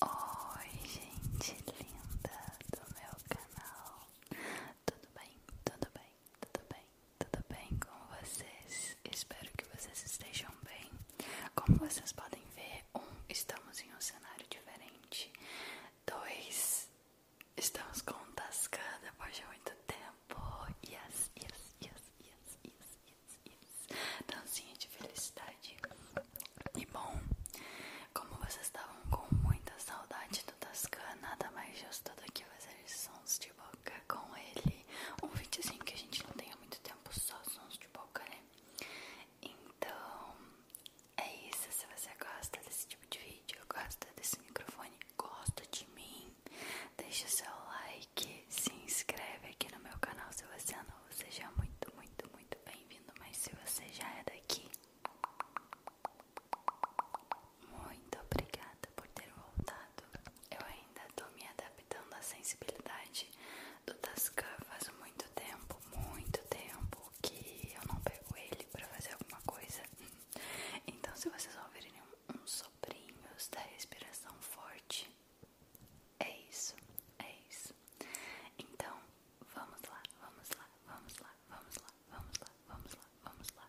Oi, gente linda do meu canal. Tudo bem? Tudo bem? Tudo bem? Tudo bem com vocês? Espero que vocês estejam bem. Como vocês podem ver, um, estamos em um cenário diferente. Dois, estamos com um Tascada depois de muito tempo. yes, yes, yes, yes, yes isso. de felicidade. E bom, como vocês estavam com muita saudade do Tascan, nada mais justo do que fazer sons de boca com ele. Um videozinho que a gente não tem há muito tempo, só sons de boca, né? Então, é isso. Se você gosta desse tipo de vídeo, gosta desse microfone, gosta de mim, deixa o seu like se inscreve aqui no meu canal se você é novo. Seja muito, muito, muito bem-vindo. Mas se você já é daqui, muito obrigada por ter voltado. Eu ainda estou me adaptando à sensibilidade do Tascam faz muito tempo, muito tempo que eu não pego ele para fazer alguma coisa. Então se vocês ouvirem uns um, um soprinhos da respiração forte é isso, é isso. Então, vamos lá, vamos lá, vamos lá, vamos lá, vamos lá, vamos lá, vamos lá.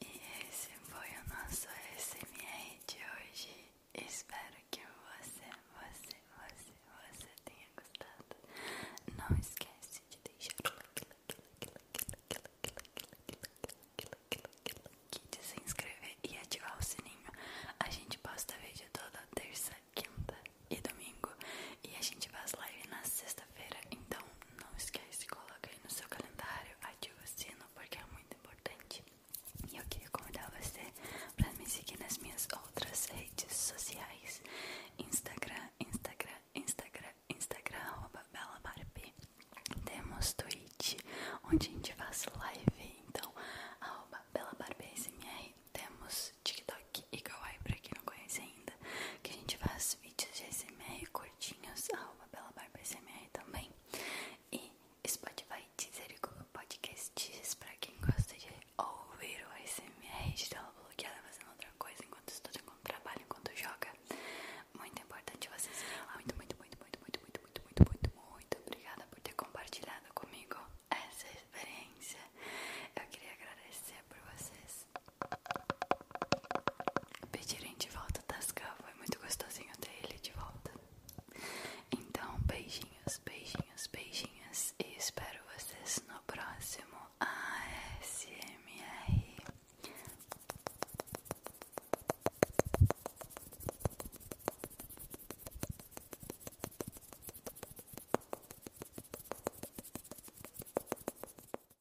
E esse foi o nosso SMR de hoje. Espero que você, você, você, você tenha gostado. Não esquece de deixar o like, like, like, like, like, like, like, like, like, de se inscrever e ativar o sininho. A gente posta vídeo toda terça, quinta e domingo. E a gente faz live na sexta-feira. Então não esquece, coloca aí no seu calendário, ativa o sino porque é muito importante. E eu queria convidar você para me seguir nas minhas outras redes sociais: Instagram, Instagram, Instagram, Instagram, arroba Temos Twitch, onde a gente faz live, então, arroba BelaBarbeSMR. Temos TikTok e Kawaii, para quem não conhece ainda, que a gente faz vídeos de SMR curtinhos, arroba Bela Barba SMR também. E Spotify Teaser e Google Podcasts pra quem gosta de ouvir o SMR de tela bloqueada fazendo outra coisa enquanto estuda, enquanto trabalha, enquanto joga. Muito importante vocês irem lá. Muito, muito, muito, muito, muito, muito, muito, muito, muito, muito obrigada por ter compartilhado comigo essa experiência. Eu queria agradecer por vocês Pedirem de volta Tasca, foi muito gostosinho ter ele de volta. Então, beijinhos, beijinhos, beijinhos e espero vocês no próximo ASMR.